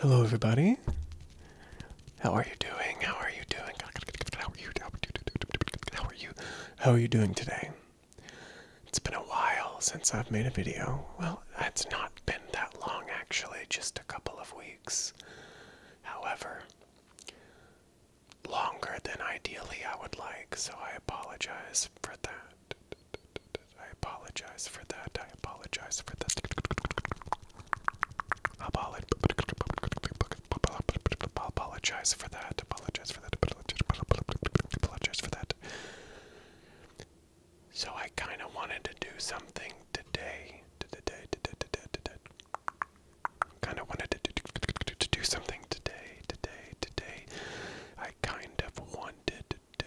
Hello, everybody. How are you doing? How are you doing? How are you? How are you? doing today? It's been a while since I've made a video. Well, it's not been that long, actually, just a couple of weeks. However, longer than ideally I would like, so I apologize for that. I apologize for that. I apologize for that. Apologize for that. Apologize for that. Apologize for that. So I kind of wanted to do something today. Today, today, today, today. Kind of wanted to do something today, today, today. I kind of wanted to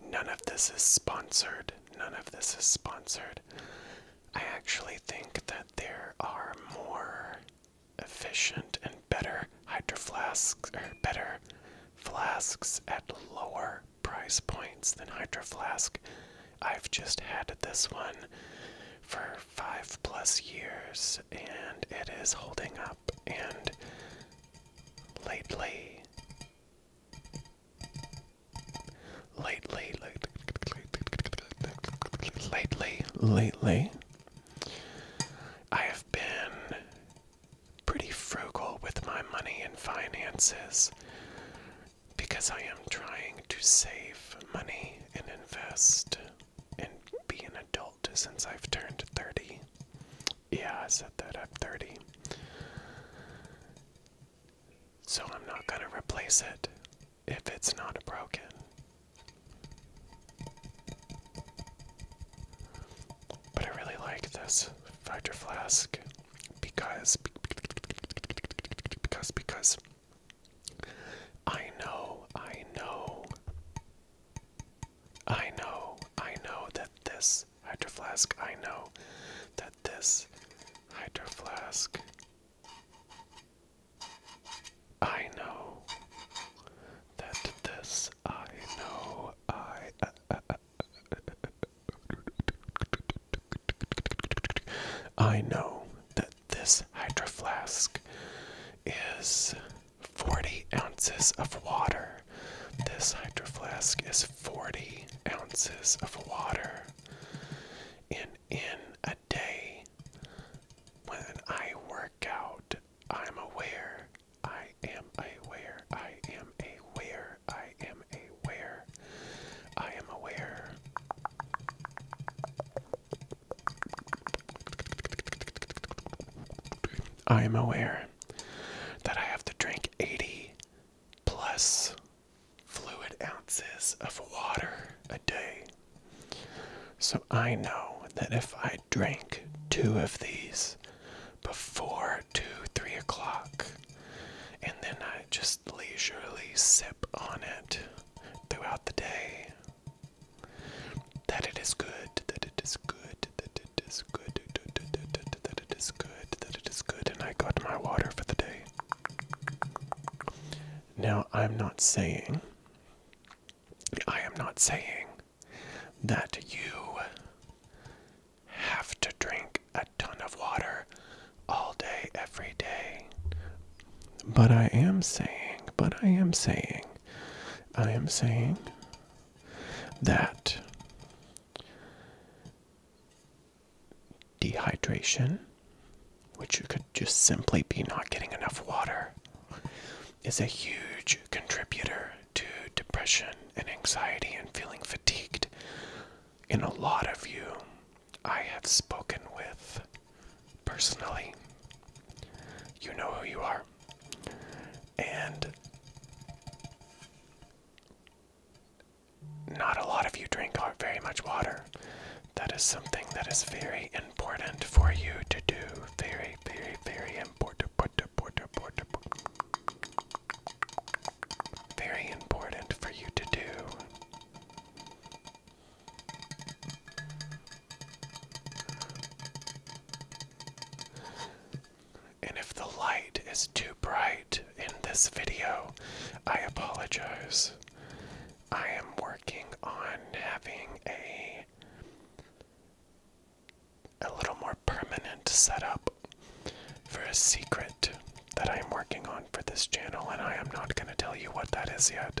None of this is sponsored. None of this is sponsored. I actually think that there are more efficient and better Hydroflasks or better flasks at lower price points than hydro I've just had this one for five plus years and it is holding up and lately. Lately, lately, lately, lately, I have been pretty frugal with my money and finances because I am trying to save money and invest and be an adult since I've turned 30. Yeah, I said that. I'm 30. So I'm not going to replace it if it's not broken. But I really like this Vitra Flask because, because, because I know, I know I know, I know that this Hydro Flask, I know that this Hydro Flask, I know that this, I know, I. I know that this Hydro Flask is 40 ounces of water. This hydro flask is 40 ounces of water. And in a day, when I work out, I'm aware. I am aware. I am aware. I am aware. I am aware. I am aware that I have to drink 80 plus fluid ounces of water a day. So I know that if I drink two of these before 2 3 o'clock, and then I just leisurely sip on it throughout the day, that it is good, that it is good, that it is good, that it is good, that it is good, and I got my water for the day. Now, I'm not saying, I am not saying that you have to drink a ton of water all day, every day. But I am saying, but I am saying I am saying that dehydration, which could just simply be not getting enough water, is a huge contributor to depression and anxiety and feeling fatigued. In a lot of you, I have spoken with personally. You know who you are. And not a lot of you drink very much water. That is something that is very important for you to do. Very, very, very important. Very important for you to do. And if the light is too bright in this video, I apologize. I am working on having a a little more permanent setup for a secret that I'm working on for this channel and I am not going to tell you what that is yet.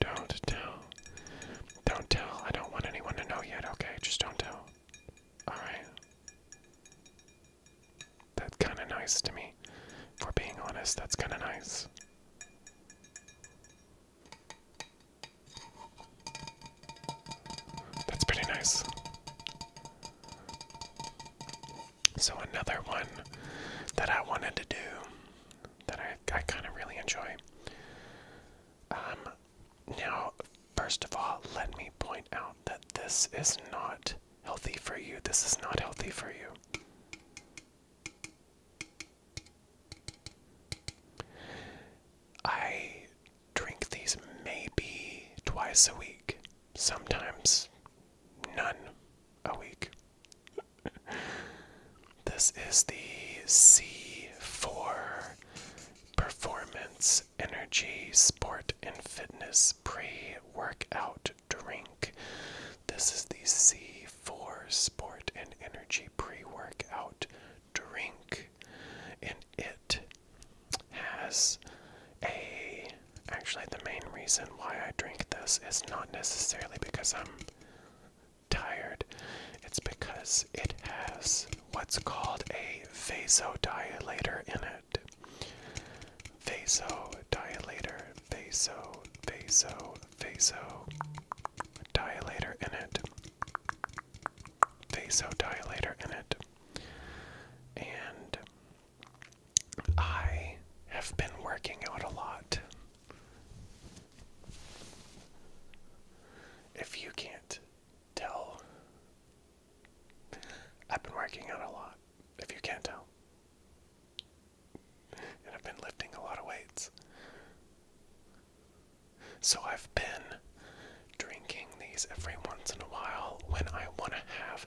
Don't tell. Don't tell. I don't want anyone to know yet, okay? Just don't tell. Alright. That's kinda nice to me. If we're being honest, that's kinda nice. That's pretty nice. So another one that I wanted to do that I, I kind of really enjoy. Um, now, first of all, let me point out that this is not healthy for you. This is not healthy for you. I drink these maybe twice a week, sometimes none a week. this is the C4 Performance Energy Sport and Fitness Pre Workout Drink. This is the C4 Sport and Energy Pre Workout drink, and it has a. Actually, the main reason why I drink this is not necessarily because I'm tired, it's because it has what's called a vasodilator in it. Vasodilator, vaso, vaso, vaso, dilator in it vasodilator in it. And I have been working out a lot. If you can't tell, I've been working out a lot. If you can't tell, and I've been lifting a lot of weights. So I've been drinking these every once in a while when I want to have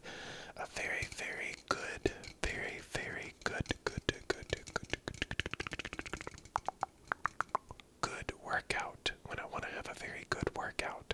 a very, very good, very, very good, good, good, good, good, good, good workout. When I want to have a very good workout.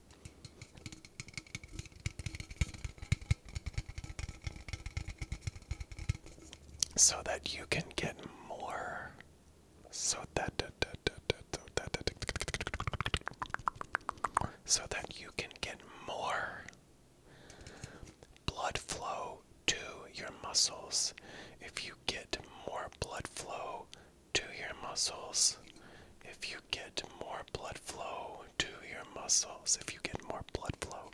so that you can get more so that so that you can get more blood flow to your muscles if you get more blood flow to your muscles if get more blood flow to your muscles, if you get more blood flow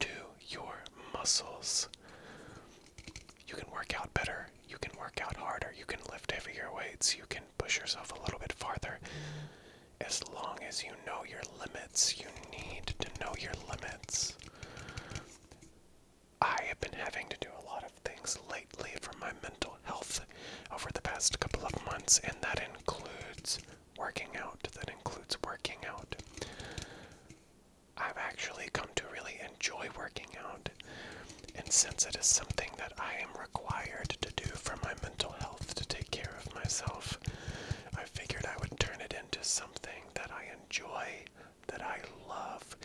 to your muscles, you can work out better, you can work out harder, you can lift heavier weights, you can push yourself a little bit farther. As long as you know your limits, you need to know your limits. I have been having to do a lot of things for my mental health over the past couple of months, and that includes working out. That includes working out. I've actually come to really enjoy working out, and since it is something that I am required to do for my mental health to take care of myself, I figured I would turn it into something that I enjoy, that I love,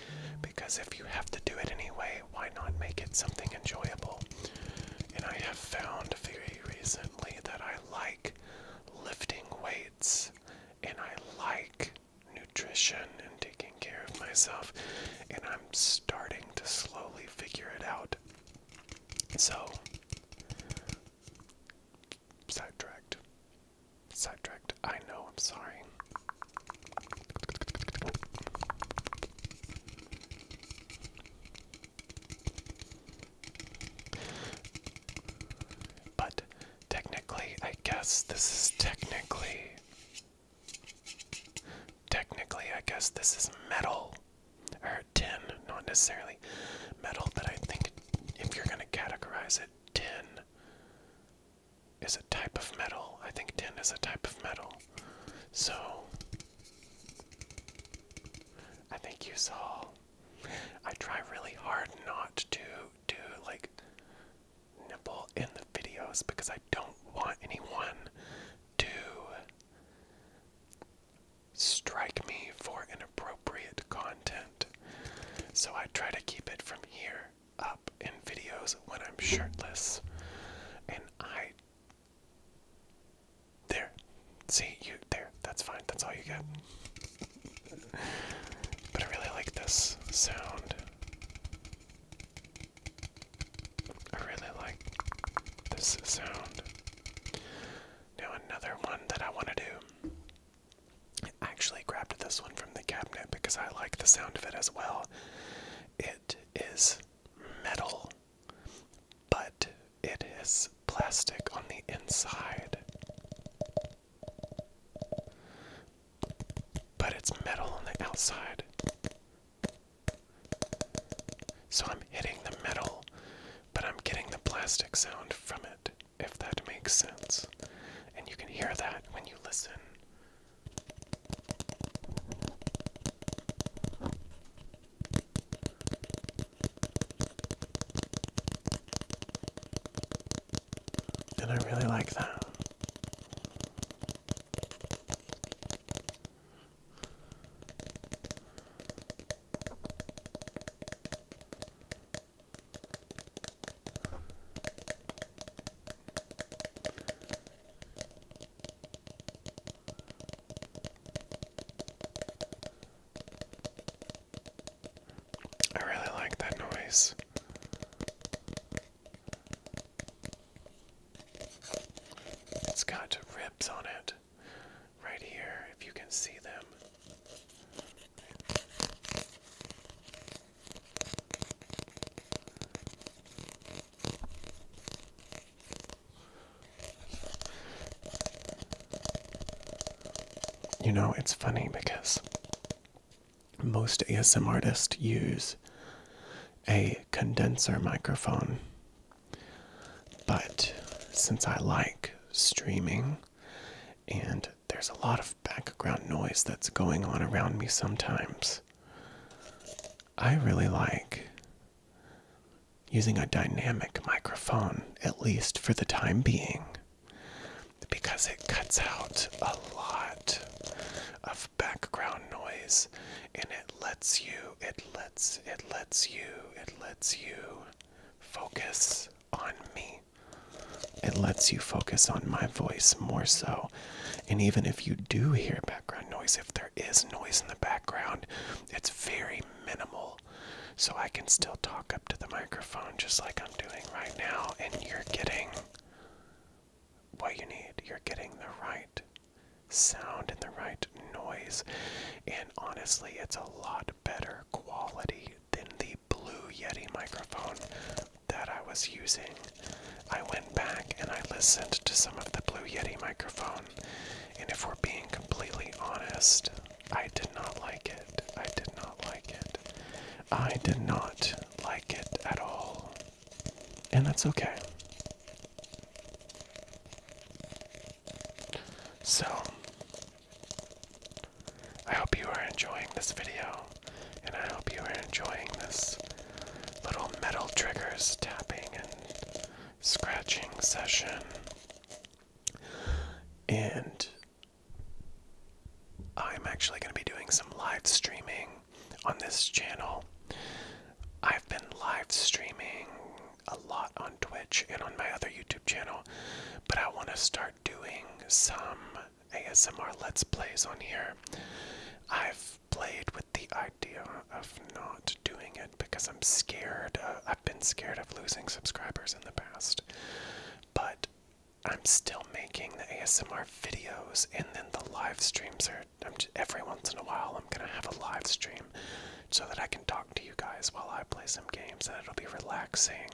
because if you have to do it anyway, why not make it something enjoyable? And I have found very recently that I like lifting weights and I like nutrition and taking care of myself, and I'm starting to slowly figure it out. So, sidetracked. Sidetracked. I know, I'm sorry. But technically, I guess this is technically. Technically, I guess this is metal. Or tin, not necessarily metal, but I think if you're going to categorize it, tin is a type of metal. I think tin is a type of metal. So I think you saw I try really hard not to do like nipple in the videos because I don't want anyone to strike me for inappropriate content. So I try to keep it from here up in videos when I'm shirtless. And I there. See you there. That's fine. That's all you get. But I really like this sound. I really like this sound. Now, another one that I want to do. I actually grabbed this one from the cabinet because I like the sound of it as well. It is metal, but it is plastic on the inside. But it's metal on the outside. So I'm hitting the metal, but I'm getting the plastic sound from it, if that makes sense. And you can hear that when you listen and I really like that. I really like that noise. It's got ribs on it right here, if you can see them. You know, it's funny because most ASM artists use a condenser microphone. But since I like streaming and there's a lot of background noise that's going on around me sometimes, I really like using a dynamic microphone, at least for the time being, because it cuts out a lot of background noise and it lets you, it lets, it lets you, it lets you focus on me. It lets you focus on my voice more so and even if you do hear background noise, if there is noise in the background, it's very minimal. So I can still talk up to the microphone just like I'm doing right now, and you're getting what you need. You're getting the right sound and the right noise. And honestly, it's a lot better quality than the Blue Yeti microphone that I was using, I went back and I listened to some of the Blue Yeti microphone, and if we're being completely honest, I did not like it. I did not like it. I did not like it at all. And that's okay. So, I hope you are enjoying this video and I hope you are enjoying this little metal triggers tapping and scratching session. And I'm actually going to be doing some live streaming on this channel. I've been live streaming a lot on Twitch and on my other YouTube channel, but I want to start doing some ASMR Let's Plays on here. I've played with the idea of not doing it because I'm scared. Uh, I've been scared of losing subscribers in the past. But I'm still making the ASMR videos and then the live streams are. every once in a while, I'm gonna have a live stream so that I can talk to you guys while I play some games and it'll be relaxing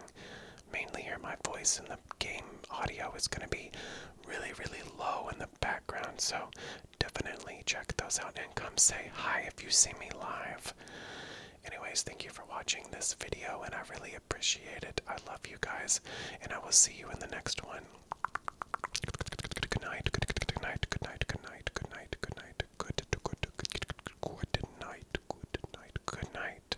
mainly hear my voice, and the game audio is going to be really, really low in the background. So definitely check those out and come say hi if you see me live. Anyways, thank you for watching this video, and I really appreciate it. I love you guys, and I will see you in the next one. Good night. Good night. Good night. Good night. Good night. Good night. Good night. Good night. Good night. Good night.